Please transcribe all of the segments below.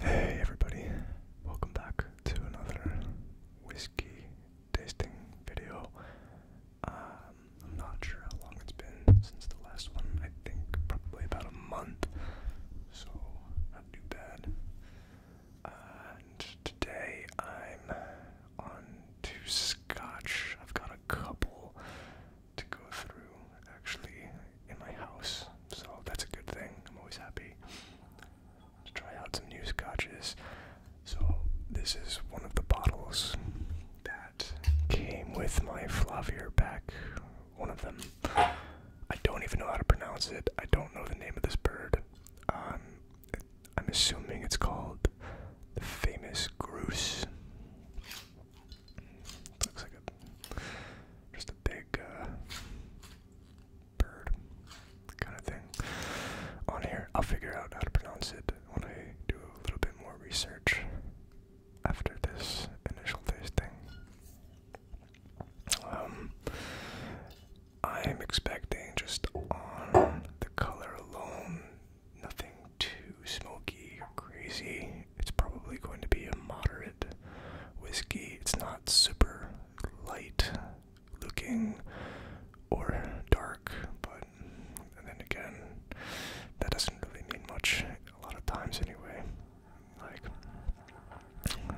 Hey everybody, welcome back to another whiskey tasting video. Um, I'm not sure how long it's been since the last one. I think probably about a month. So not too bad. And today I'm on to Scotch. I've got a couple to go through actually in my house, so that's a good thing. I'm always happy to try out some new Scotches. So, this is one of the bottles that came with my Flavier back. One of them. I don't even know how to pronounce it. I don't know the name of this bird. Um, I'm assuming it's called the famous Groose. Looks like just a big uh, bird kind of thing on here. I'll figure out how to pronounce it when I do a little bit more research after this initial tasting. I'm expecting just on the color alone, nothing too smoky or crazy. It's probably going to be a moderate whiskey. It's not super light looking or dark, but then again, that doesn't really mean much a lot of times anyway. Like,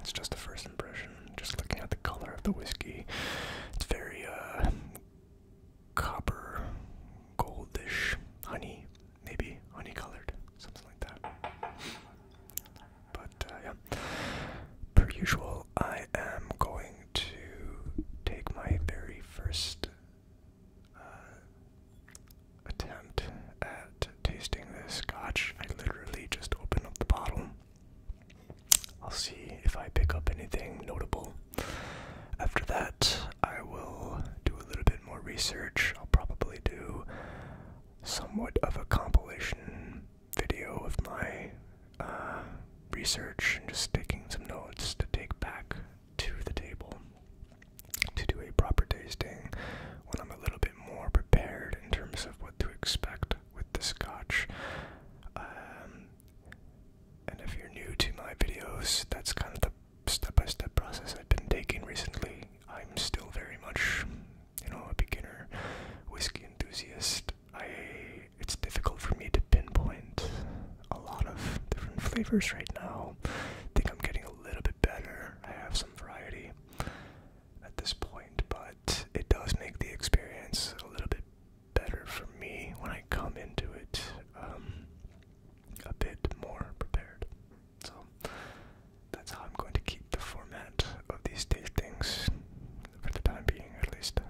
it's just the first first impression, just looking at the color of the whiskey. It's very uh, copper, goldish, honey, maybe honey colored, something like that. But uh, yeah, per usual, I am going to take my very first uh, attempt at tasting this scotch. I literally just opened up the bottle. I'll see if I pick up anything notable. After that, I will do a little bit more research. I'll probably do somewhat of a compilation video of my uh, research and just taking some notes to take back to the table to do a proper tasting when I'm a little bit more prepared in terms of what to expect with the scotch. Um, and if you're new to my videos, that's kind of the step by step process I've been taking recently. I'm still very much, you know, a beginner whiskey enthusiast. I it's difficult for me to pinpoint a lot of different flavors right now. I think I'm getting a little bit better. I have some variety at this point, but it does make the experience a little bit better for me when I come into it um, a bit more prepared. So that's how I'm going to keep the format of these tastings for the time being, at least.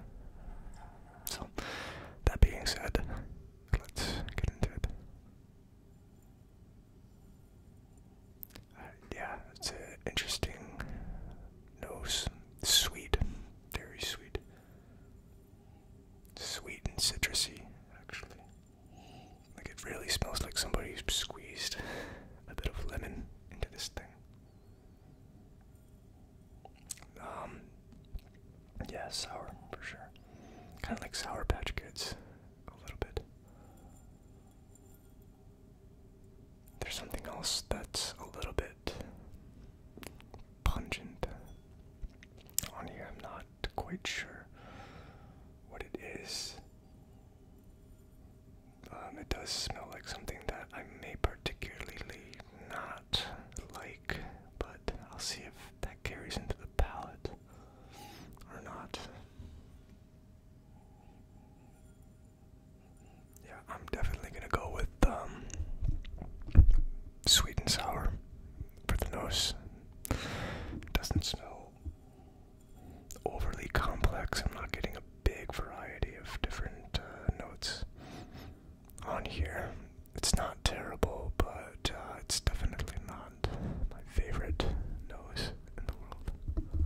So that being said, let's get into it. Uh, yeah, it's an interesting nose. Sweet, very sweet. Sweet and citrusy, actually. Like it really smells like somebody squeezed a bit of lemon into this thing. Um, yeah, sour for sure. Kind of like Sour Patch Kids, a little bit. There's something else that's a little bit pungent on here. I'm not quite sure what it is. Um, it does smell like something that I may particularly not like, but I'll see if that carries into the palate or not. Yeah, I'm definitely gonna go with um, sweet and sour for the nose. Doesn't smell overly complex. I'm not getting a big variety of different uh, notes on here. It's not terrible, but uh, it's definitely not my favorite nose in the world.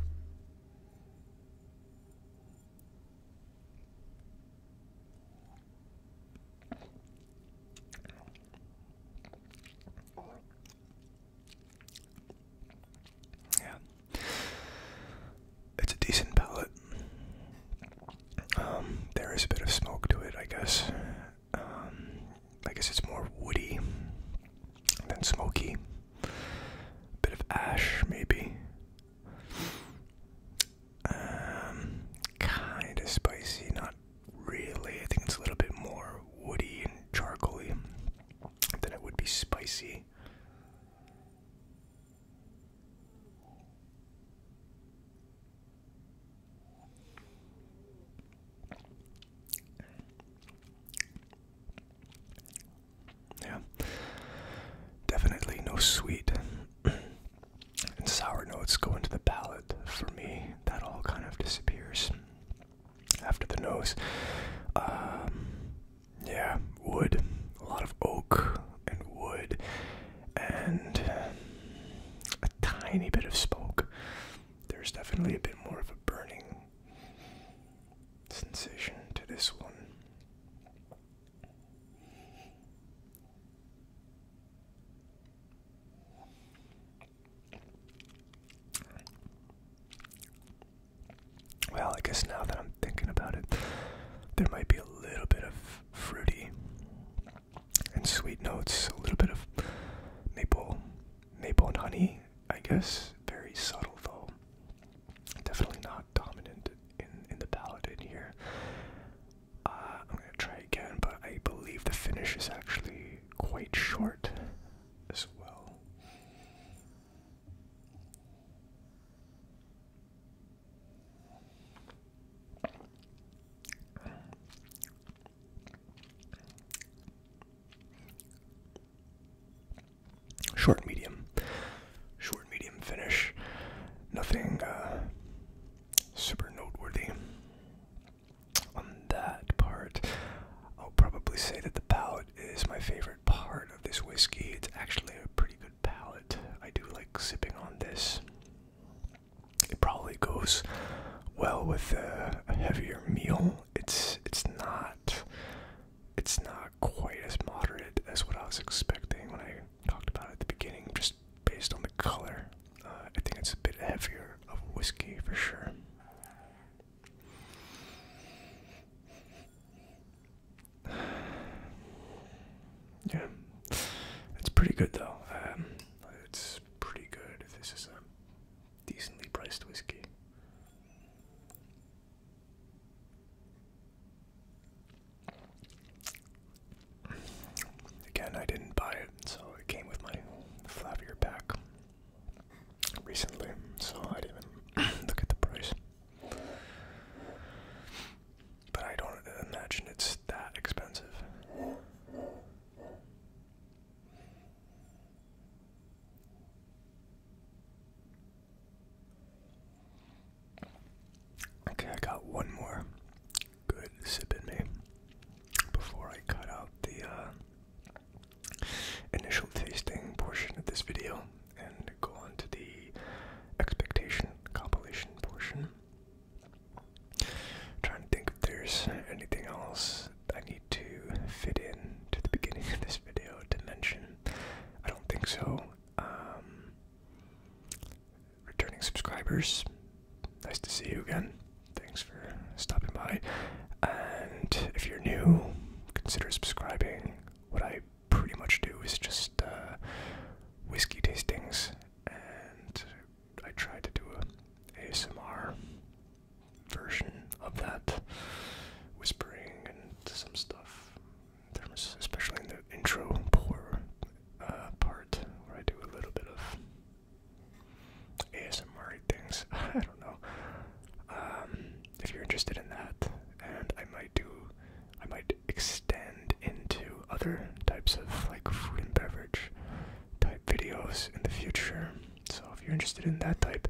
Yeah, it's a decent pellet. Um, there is a bit of smoke to it, I guess. Um, I guess it's more woody than smoky. A bit of ash, maybe. Um, kind of spicy, not really. I think it's a little bit more woody and charcoaly than it would be spicy. Yeah. Definitely no sweet and sour notes go into the palate for me. That all kind of disappears after the nose. Um, yeah, wood. A lot of oak and wood and a tiny bit of smoke. There's definitely a bit more of a burning sensation to this one. Well, I guess now that I'm thinking about it, there might be a little bit of fruity and sweet notes, a little bit of maple, maple and honey, I guess. Very subtle though. Definitely not dominant in in the paladin here. Uh, I'm gonna try again, but I believe the finish is actually quite short as well short medium, short medium finish. Nothing uh, super noteworthy on that part. I'll probably say that the palate is my favorite part of this whiskey. It's actually a pretty good palate. I do like sipping on this. It probably goes well with a heavier meal. It's it's not it's not quite as moderate as what I was expecting when I talked about at the beginning, just based on the color. Uh, I think it's a bit heavier of whiskey for sure. Yeah, it's pretty good though. Um, it's pretty good. This is a decently priced whiskey. Again, I didn't buy it, so it came with my flappier pack recently, so I didn't look at the price. But I don't imagine it's that expensive. Okay, I got one more good sip in me before I cut out the uh, initial tasting portion of this video and go on to the expectation compilation portion. trying to think if there's anything else I need to fit in to the beginning of this video to mention. I don't think so. Um, Returning subscribers, nice to see you again. Thanks for stopping by. And if you're new, consider subscribing. What I pretty much do is just uh, whiskey tastings, and I try to do a ASMR version of that, whispering and some stuff especially in the intro pour uh, part where I do a little bit of ASMR things. I don't know. Um, if you're interested in that, and I might do, I might extend into other types of like food and beverage type videos in the future. So if you're interested in that type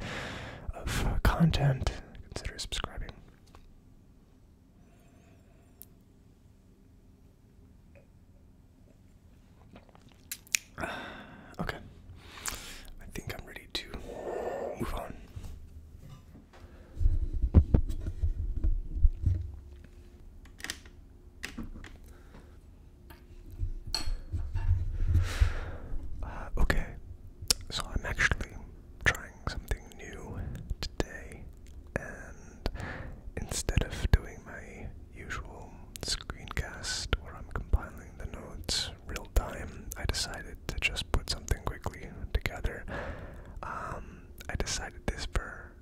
of content, consider subscribing. Okay. I think I'm ready to move on. Uh, okay, so I'm actually trying something new today, and instead of doing my usual screencast where I'm compiling the notes real time, I decided to just put something quickly together. Um, I decided this for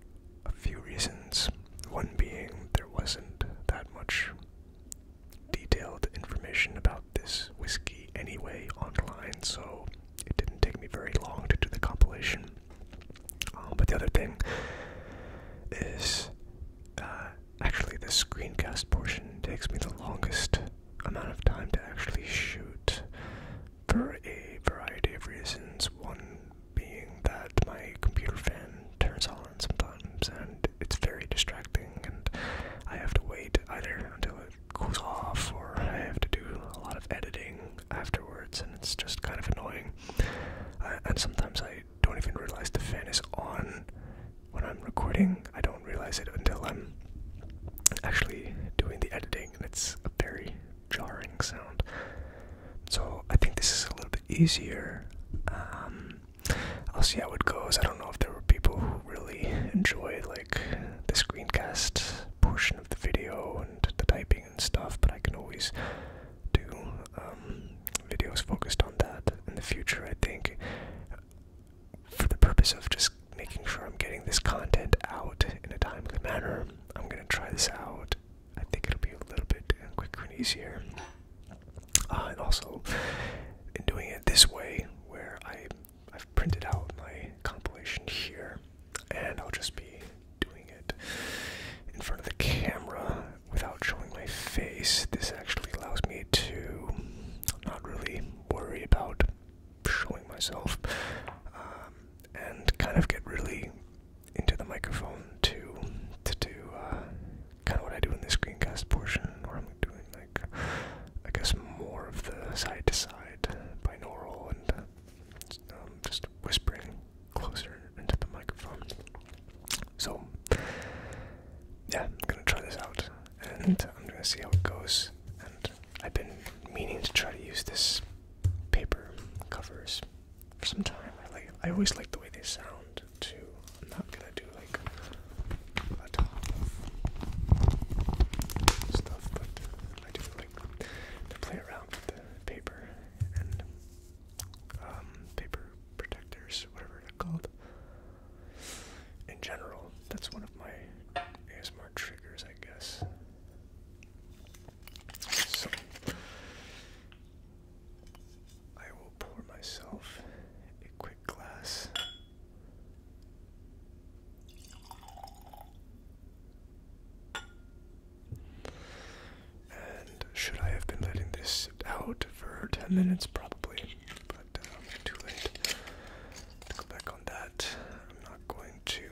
a few reasons. One being there wasn't that much detailed information about this whiskey anyway online, so it didn't take me very long to do the compilation. Um, but the other thing is uh, actually the screencast portion takes me the longest amount of time to actually shoot for a variety of reasons. One being that my computer fan turns on sometimes and it's very distracting, and I have to wait either until it goes off or I have to do a lot of editing afterwards and it's just kind of annoying. and sometimes I don't even realize the fan is on when I'm recording. I don't realize it until I'm actually doing the editing and it's a very jarring sound. So I think this is a little bit easier. Um, I'll see how it goes. I don't know if there were people who really enjoy like the screencast portion of the video and the typing and stuff, but I can always do um, videos focused on that in the future, I think, for the purpose of just making sure I'm getting this content out in a timely manner. I'm going to try this out. I think it'll be a little bit quicker and easier. Uh, and also, in doing it this way, where I I've printed out my compilation here, and I'll just be doing it in front of the camera without showing my face. This actually allows me to not really worry about showing myself um, and kind of get really into the microphone to to do uh, kind of what I do in the screencast portion, where I'm doing like I guess more of the side to side binaural and um, just whispering closer into the microphone. So, yeah, I'm gonna try this out and I'm gonna see how it goes. And I've been meaning to try to use this paper covers for some time. I like I always like the way they sound too. not gonna do like a ton of stuff, but to play around with the paper and um, paper protectors, whatever they called. In general, that's one of my ASMR triggers, I guess. So, I will pour myself a quick glass and should I have been letting this sit out for 10 minutes? Probably, but uh, too late to go back on that. I'm not going to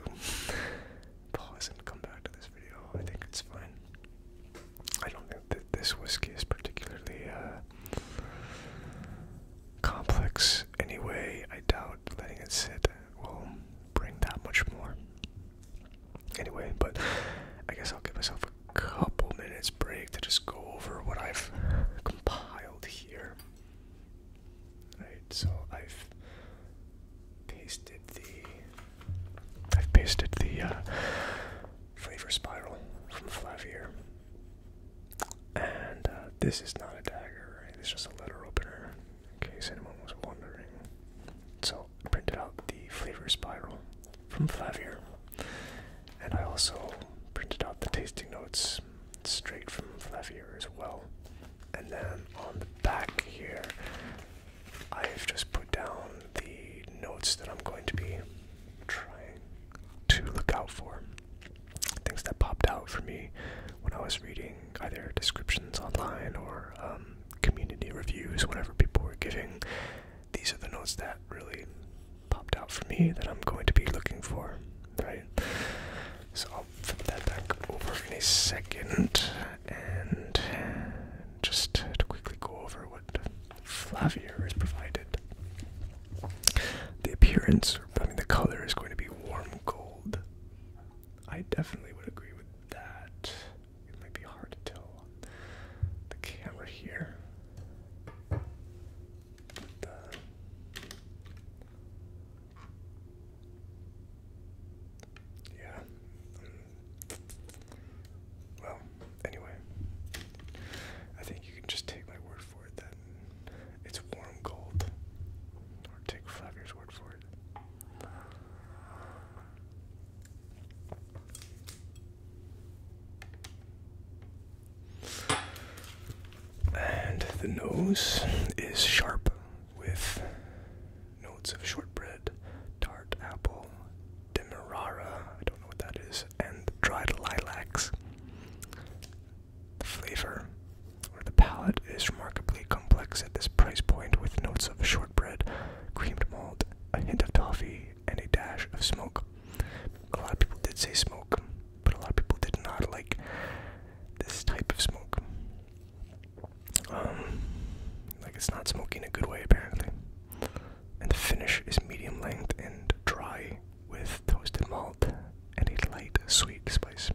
pause and come back to this video. I think it's fine. I don't think that this whiskey is particularly uh, complex anyway. I doubt letting it sit will bring that much more. Anyway, but I guess I'll give myself a couple minutes break to just go over what I've compiled here. Right, so I've pasted the I've pasted the uh, flavor spiral from Flavier, and uh, this is not a dagger. It's just a letter opener in case anyone was wondering. So I printed out the flavor spiral from Flavier, and I also printed out the tasting notes straight from Flavier as well. And then on the back here, I've just put down the notes that I'm going to be trying to look out for. Things that popped out for me when I was reading either descriptions online or um, community reviews, whatever people were giving, these are the notes that really popped out for me that I'm going to be looking for, right? So I'll put that back over in a second and just to quickly go over what Flavier is provided. The appearance, I mean, the color is going to be warm gold. I definitely would agree with that. It might be hard to tell on the camera here. yeah. well, anyway, I think you can just take my word for it then. It's warm gold. Or take five word for it. And the nose is sharp with notes of shortbread, tart apple, demerara, I don't know what that is, and dried lilacs. The flavor or the palate is remarkably complex at this price point with notes of shortbread, creamed malt, a hint of toffee, and a dash of smoke. A lot of people did say smoke, but a lot of people did not like this type of smoke. Um, like it's not smoking a good way, apparently. And the finish is medium length and dry with toasted malt and a light sweet spice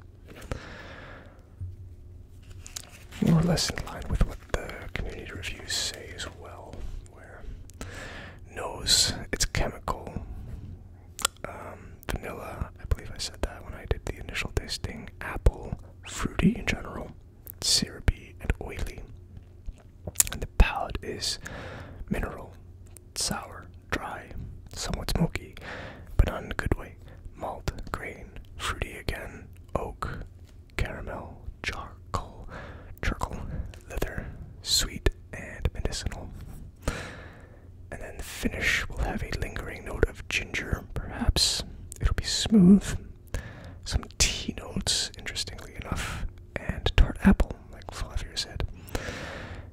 more or less in line with what the community reviews say as well, where nose it's chemical um, vanilla. I believe I said that when I did the initial tasting. Apple, fruity in general, syrupy and oily. And the palate is mineral, sour, dry, somewhat smoky, but not in a good way malt, grain, fruity again, oak, caramel, charcoal, charcoal, leather, sweet, and medicinal. And then the finish will have a lingering note of ginger, perhaps. It'll be smooth. Some tea notes, interestingly enough, and tart apple, like Flavia said.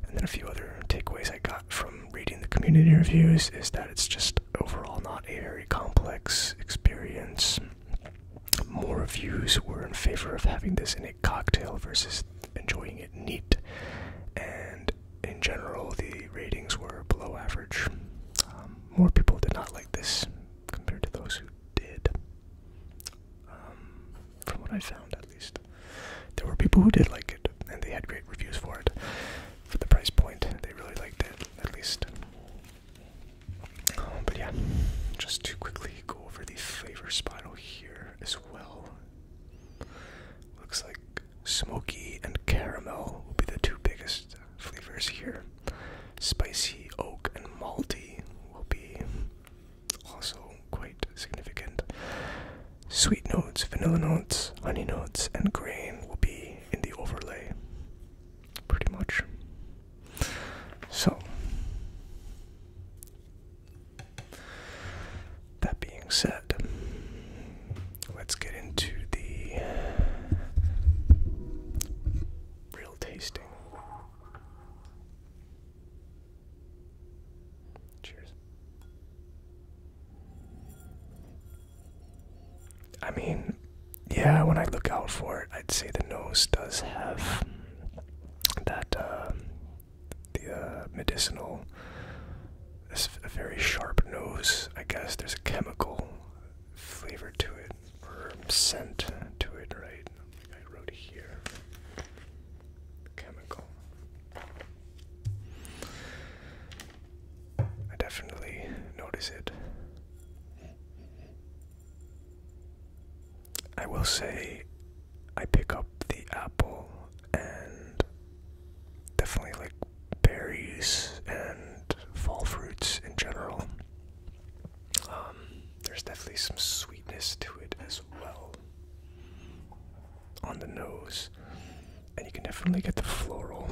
And then a few other takeaways I got from reading the community reviews is that it's just overall not a very complex experience. More reviews were in favor of having this in a cocktail versus enjoying it neat, and in general, the ratings were below average. Um, more people did not like this compared to those who did, um, from what I found at least. There were people who did like it, and they had great reviews for it. For the price point, they really liked it, at least. Um, but yeah, just to quickly go over the flavor spiral here as well. Looks like smoky and caramel will be the two biggest flavors here. Spicy, oak, and malty will be also quite significant. Sweet notes, vanilla notes, honey notes, and grain will be in the overlay. Pretty much. So, that being said, let's get into the real tasting. Cheers. I mean, yeah, when I look out for it, I'd say the nose does have that um, the uh, medicinal, a very sharp nose. I guess there's a chemical flavor to it or scent to it, right? I wrote here chemical. I definitely notice it. I will say I pick up the apple and definitely like berries and fall fruits in general. Um, there's definitely some sweetness to it as well on the nose, and you can definitely get the floral,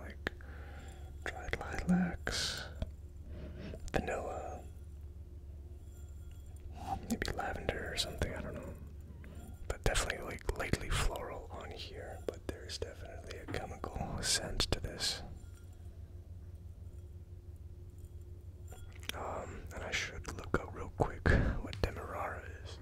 like dried lilacs, vanilla, maybe lavender or something. I don't know, but definitely like lightly floral on here. But there's definitely a chemical scent to this. Um, and I should look up real quick what Demerara is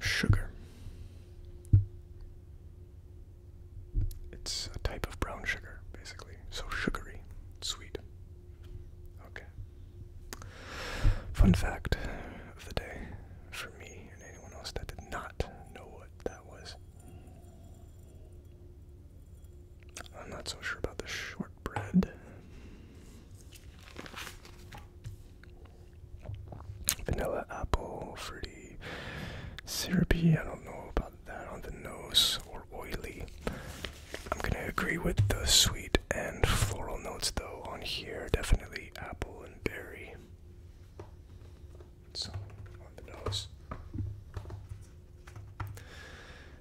sugar. It's a type of brown sugar, basically. So sugary, sweet. Okay. Fun fact of the day for me and anyone else that did not know it that was. I'm not so sure about the shortbread. Vanilla, apple, fruity, syrupy. I don't know about that on the nose or oily. I'm gonna agree with the sweet and floral notes though on here. Definitely apple and berry so on the nose.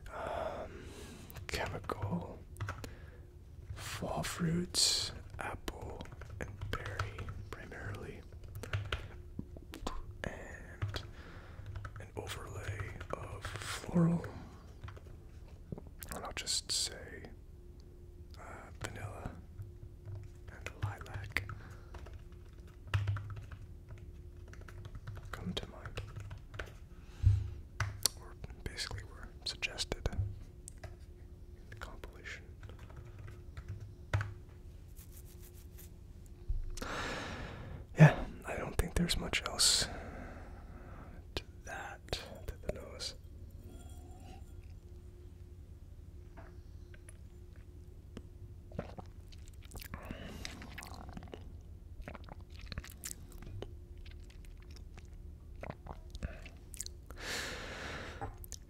Um, chemical, fall fruits, apple, and berry primarily, and an overlay of floral. And I'll just say uh, vanilla, and lilac come to mind, or basically were suggested in the compilation. Yeah, I don't think there's much else to that, to the nose.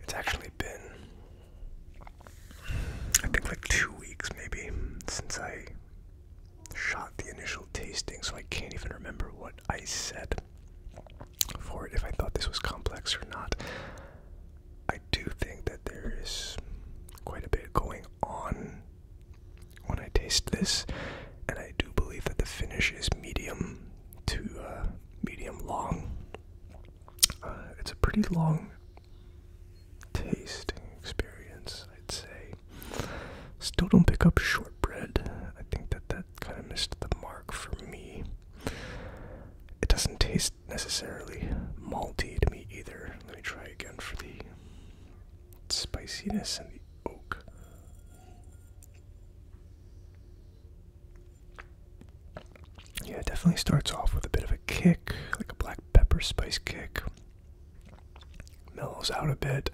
It's actually been, I think, like two weeks maybe since I shot the initial tasting, so I can't even remember what I said for it if I thought this was complex or not. I do think that there is quite a bit going on when I taste this, and I do believe that the finish is medium to uh, medium long. Uh, it's a pretty long tasting experience, I'd say. Still don't pick up shortbread. I think that that kind of missed the mark for me. It doesn't taste necessarily malty to me either. Let me try again for the spiciness and the oak. Yeah, it definitely starts off with a bit of a kick, like a black pepper spice kick. Mellows out a bit,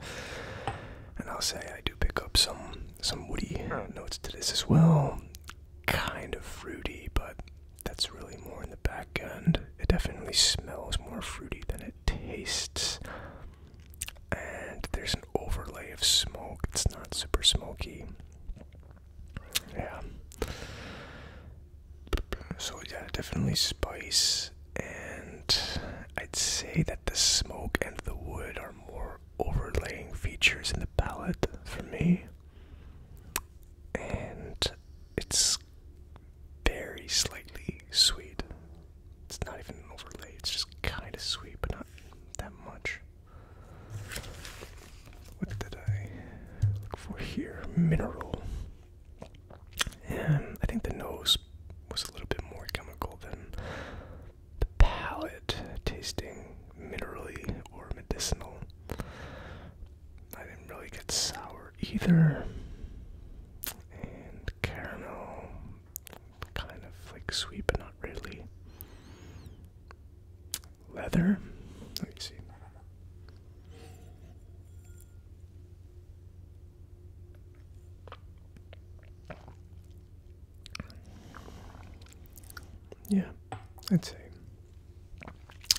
and I'll say I do pick up some some woody notes to this as well kind of fruity, but that's really more in the back end. It definitely smells more fruity than it tastes. And there's an overlay of smoke. It's not super smoky. Yeah. So, yeah, definitely spice. And I'd say that the smoke and the wood are more overlaying features in the palette for me and it's very slightly sweet. It's not even an overlay, it's just kind of sweet, but not that much. What did I look for here? Mineral. And I think the nose was a little bit more chemical than the palate tasting minerally or medicinal. I didn't really get sour either. And caramel, kind of like sweet, but not really. Leather, let me see. Yeah, I'd say.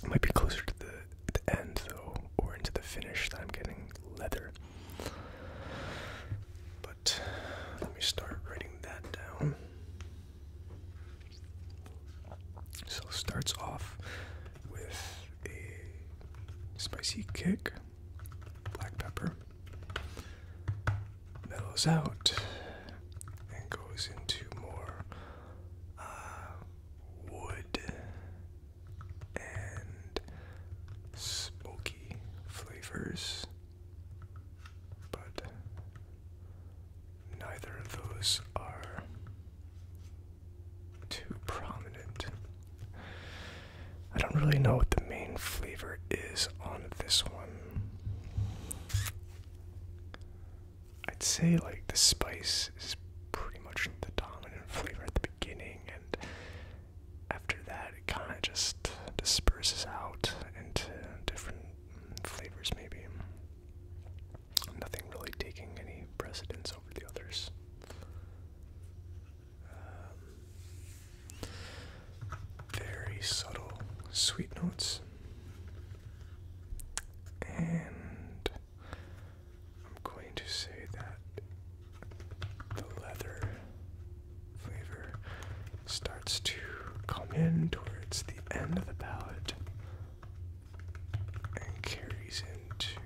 It might be closer to the, end, though, or into the finish that I'm getting leather. But let me start writing that down. So starts off with a spicy kick, black pepper, mellows out and goes into more uh, wood and smoky flavors, but neither of those are too prominent. I don't really know what the main flavor is on this one. I'd say like the spice is pretty much the dominant flavor at the beginning, and after that it kind of just disperses out into different mm, flavors, maybe. Nothing really taking any precedence over the others. Um, very subtle sweet notes. And I'm going to say that the leather flavor starts to come in towards the end of the palate and carries into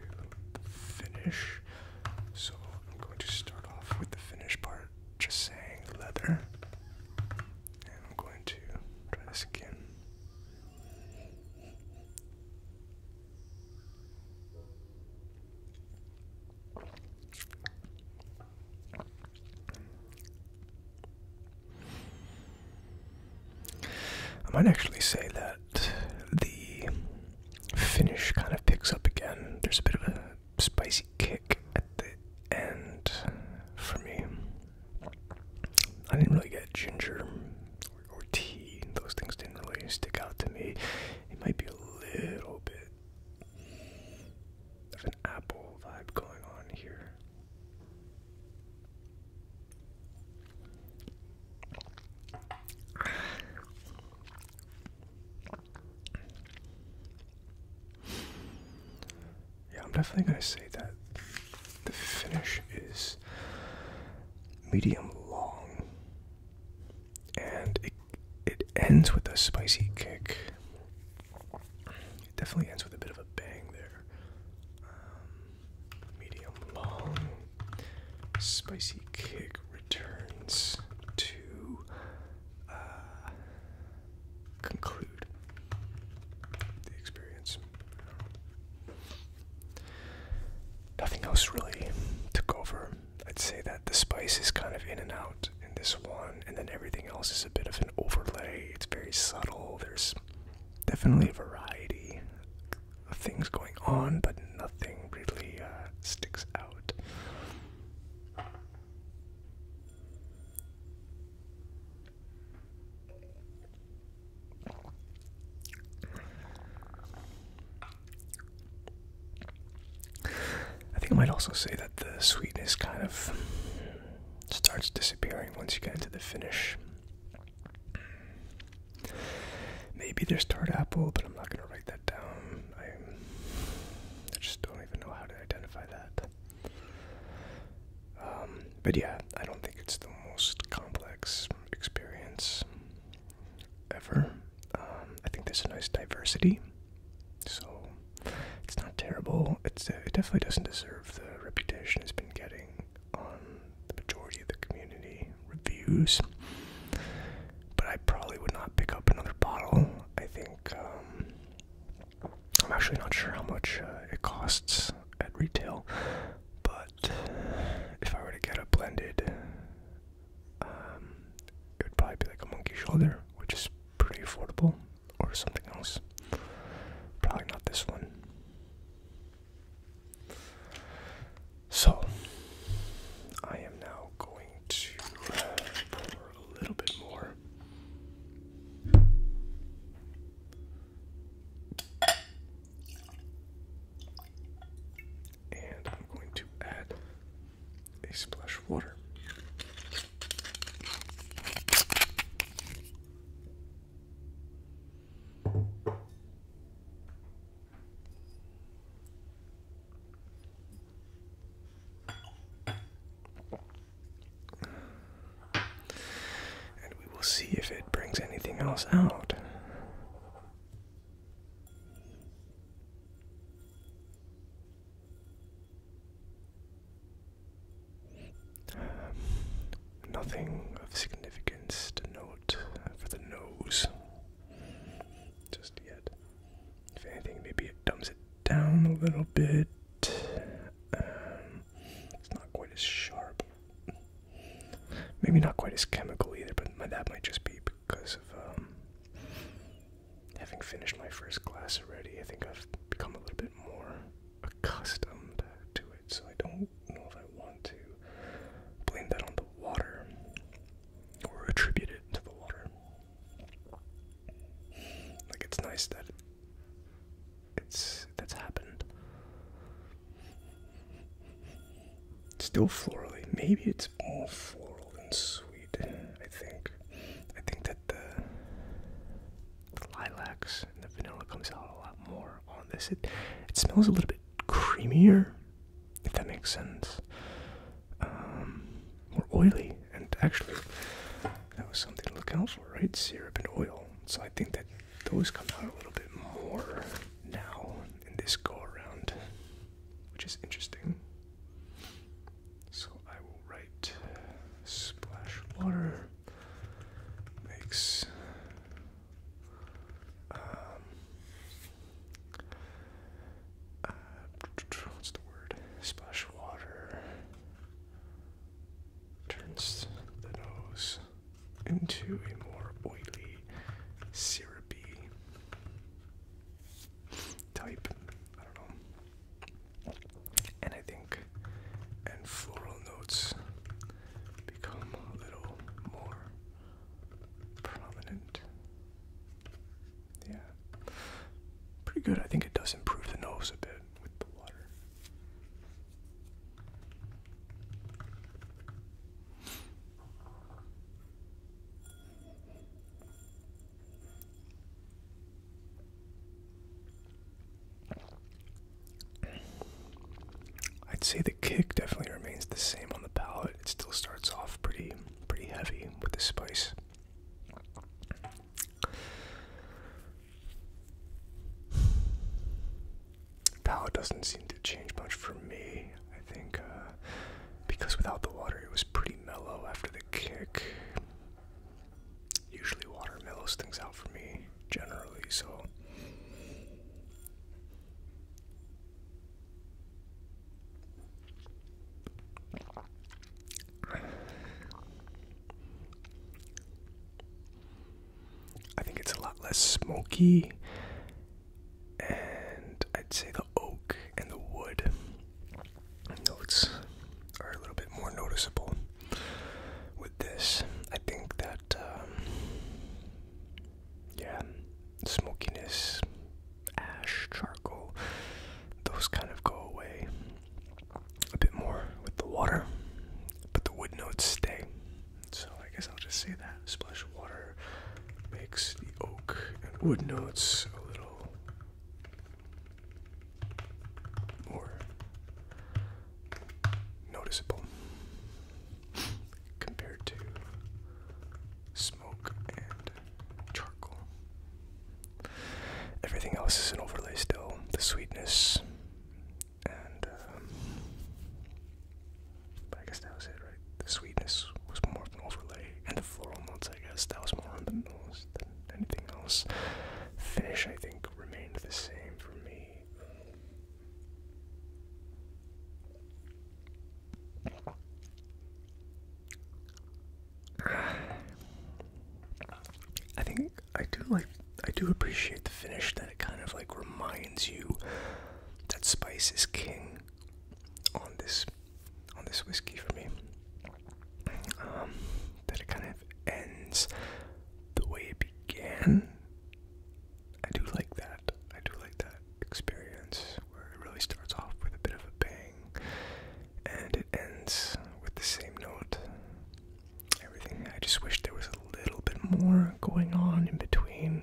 the finish. So I'm going to start off with the finish part, just saying leather. I'm going to try again. I might actually say that the finish kind of picks up again. There's a bit of a spicy kick at the end for me. I didn't really get ginger or, tea. Those things didn't really stick out to me. It might be a little bit of an apple vibe going on here. Yeah, I'm definitely going to say that the finish is medium long and it it ends with a spicy kick. It definitely ends with a bit of a bang there. Um, medium long spicy kick returns to uh, conclude the experience. Nothing else really took over. I'd say that the spice is kind of in and out in this one, and then everything else is a bit of an overlay. It's very subtle. There's definitely a variety of things going on, but nothing really uh, sticks out. I think I might also say that the sweetness kind of starts disappearing once you get into the finish. Maybe there's tart apple, but I'm not going to write that down. I, just don't even know how to identify that. Um, but yeah, I don't think it's the most complex experience ever. Um, I think there's a nice diversity, so it's not terrible. It's uh, it definitely doesn't deserve the reputation it's been getting on the majority of the community reviews. But I probably would not pick up another bottle. I think um, I'm actually not sure how much uh, it costs at retail, but if I were to get a blended, um, it would probably be like a monkey shoulder, which is pretty affordable, or something else. Probably not this one. So, I am now going to uh, a little bit more. And I'm going to add a splash of water. And we will see if it brings anything else out. nothing of significance to note for the nose just yet. If anything, maybe it dumbs it down a little bit. Um, it's not quite as sharp. Maybe not quite as chemical either, but that might just be because of um, having finished my first glass already. I think I've become a little bit more accustomed to it, so I don't know if I want to blame that on the water or attribute it to the water. Like it's nice that it's that's happened. Still florally. Maybe it's more floral and sweet, I think. I think that the, the lilacs and the vanilla comes out a lot more on this. It it smells a little bit creamier, if that makes sense. Um, more oily and actually that was something to look out for, right? Syrup and oil. So I think that those come out a little bit more now in this go around, which is interesting. So I will write splash water makes um, uh, what's the word? Splash water turns the nose into a more oily, syrupy type. I don't know. And I think, and floral notes become a little more prominent. Yeah. Pretty good. I think it does improve the nose a bit with the water. I'd say the kick definitely remains the same on the palate. It still starts off pretty pretty heavy with the spice. Palette doesn't seem to change much for me. I think uh, because without the water, it was pretty mellow after the kick. Usually, water mellows things out for me generally, so. I think it's a lot less smoky, and I'd say the oak and the wood notes are a little bit more noticeable with this. I think that, um, yeah, smokiness, ash, charcoal, those kind of go away a bit more with the water, but the wood notes stay. So I guess I'll just say that splash of water makes the oak and wood notes a little more noticeable compared to smoke and charcoal. Everything else is an overlay still. The sweetness um, I guess that was it, right? The sweetness was more of an overlay, and the floral notes, I guess, that was more on the nose than anything else. Finish, I think, remained the same for me. I think I do like I do appreciate the finish that it kind of like reminds you that spice is king on this on this whiskey for me. Um, that it kind of ends the way it began. I do like that. I do like that experience where it really starts off with a bit of a bang and it ends with the same note everything. I just wish there was a little bit more going on in between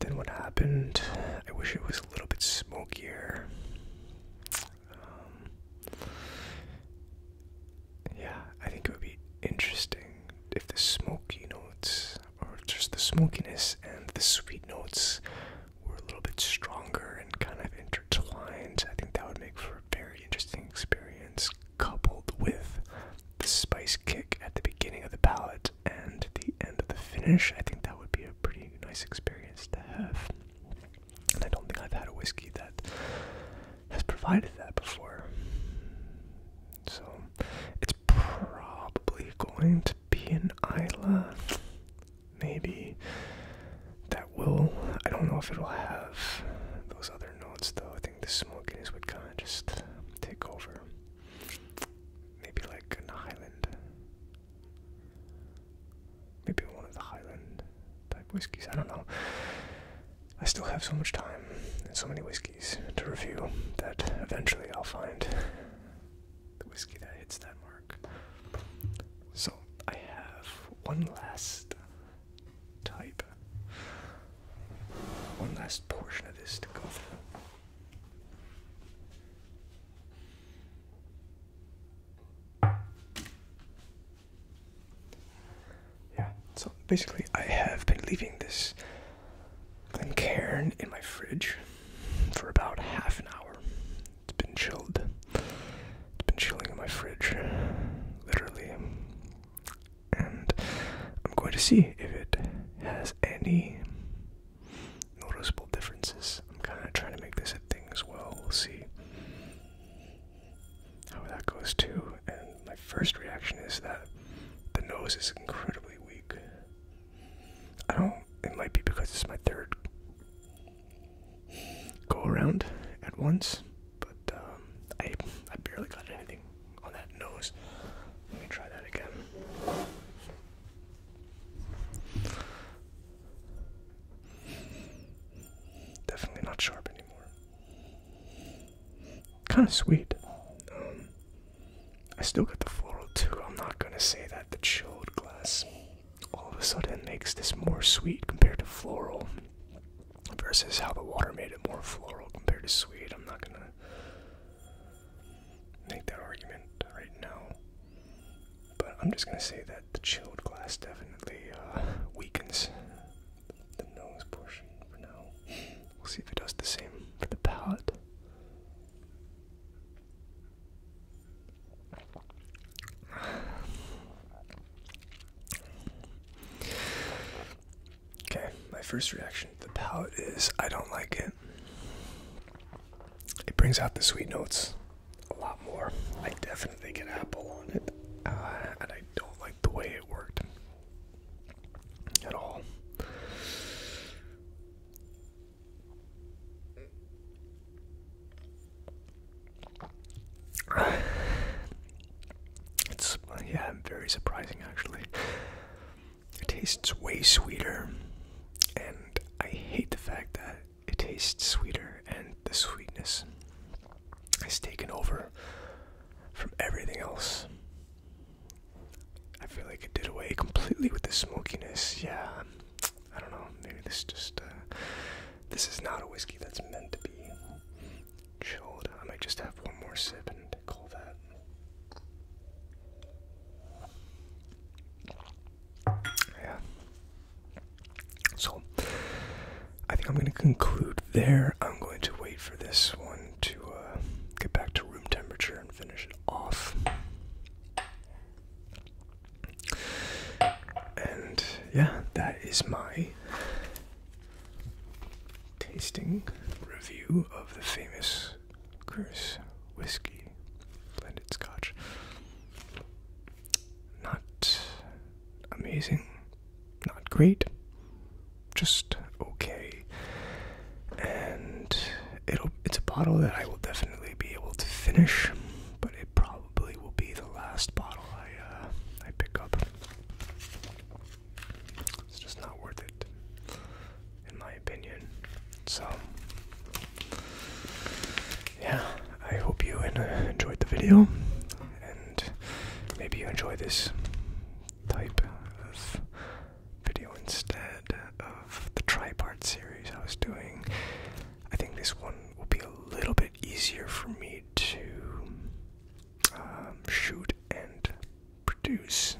than what happened. I wish it was a little bit smokier. Um, yeah, I think it would be interesting if the smoky notes, or just the smokiness and the sweet notes, were a little bit stronger and kind of intertwined. I think that would make for a very interesting experience coupled with the spice kick at the beginning of the palette and the end of the finish, I think that would be a pretty nice experience to have. And I don't think I've had a whiskey that has provided that before. So it's probably going to be an Isla. Maybe that that will, I don't know if it'll have those other notes though. I think the smokiness would kind of just take over. Maybe like an Highland. Maybe one of the Highland type whiskies. I don't know. I still have so much time and so many whiskies to review that eventually I'll find the whiskey that hits that mark. So I have one last type. One last portion of this to go through. Yeah, so basically, I have been leaving this Glencairn in my fridge for about half an hour. It's been chilled. It's been chilling in my fridge, literally and I'm going to see if it has any noticeable differences. I'm kind of trying to make this a thing as well. We'll see how that goes too. And my first reaction is that the nose is incredibly weak. I don't. It might be because it's my third go around at once. But um, I I barely got anything on that nose. Let me try that again. Definitely not sharp anymore. Kind of sweet. Um, I still got the floral too. I'm not gonna say that the chilled glass all of a sudden makes this more sweet compared to floral versus how the water made it more floral compared to sweet. I'm not gonna make that argument right now, but I'm just gonna say that the chilled glass definitely uh, weakens the nose portion for now. We'll see if it does the same for the palate. Okay, my first reaction to the palate is I don't like it. It brings out the sweet notes a lot more. I definitely get apple on it, uh, and I don't like the way it worked at all. It's yeah, very surprising actually. It tastes way sweeter, and I hate the fact that it tastes sweeter and the sweetness has taken over from everything else. I feel like it did away completely with the smokiness. Yeah, I don't know. Maybe this just uh, this is not a whiskey that's meant to be chilled. I might just have one more sip and call that. Yeah. So, I think I'm going to conclude there. I'm going to wait for this one to uh, get back to room temperature and finish it off. And yeah, that is my tasting review of the famous Curse Whiskey Blended Scotch. Not amazing, not great, just okay. And it's a bottle that I will definitely be able to finish, but it probably will be the last bottle I uh, pick up. It's just not worth it, in my opinion. So, yeah, I hope you enjoyed the video, and maybe you enjoy this type of video instead of the tripart series I was doing. I think this one will be a little bit easier for me to um, shoot and produce.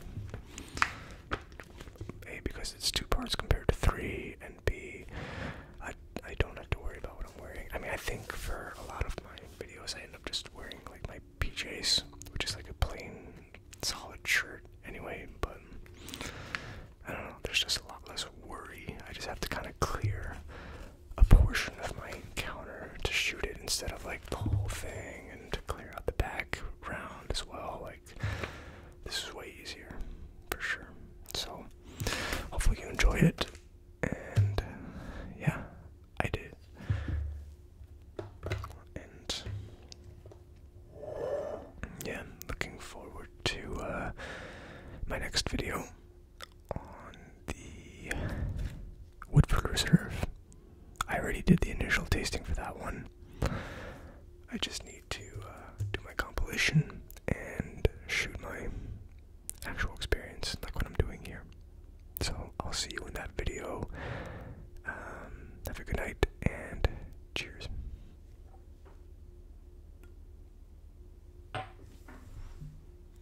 A, because it's two parts compared to three, and B, I, I don't have to worry about what I'm wearing. I mean, I think for a lot of my videos, I end up just wearing like my PJs, which is like a plain, solid shirt anyway, but I don't know, there's just a lot less worry. I just have to kind of clear a portion of my encounter to shoot it instead of like the whole thing and to clear out the back round as well. Like, this is way easier for sure. So, hopefully, you enjoy it. And yeah, I did. And yeah, looking forward to uh, my next video on the Woodford Reserve. I already did the initial tasting for that one. I just need to uh, do my compilation and shoot my actual experience, like what I'm doing here. So I'll see you in that video. Um, have a good night and cheers.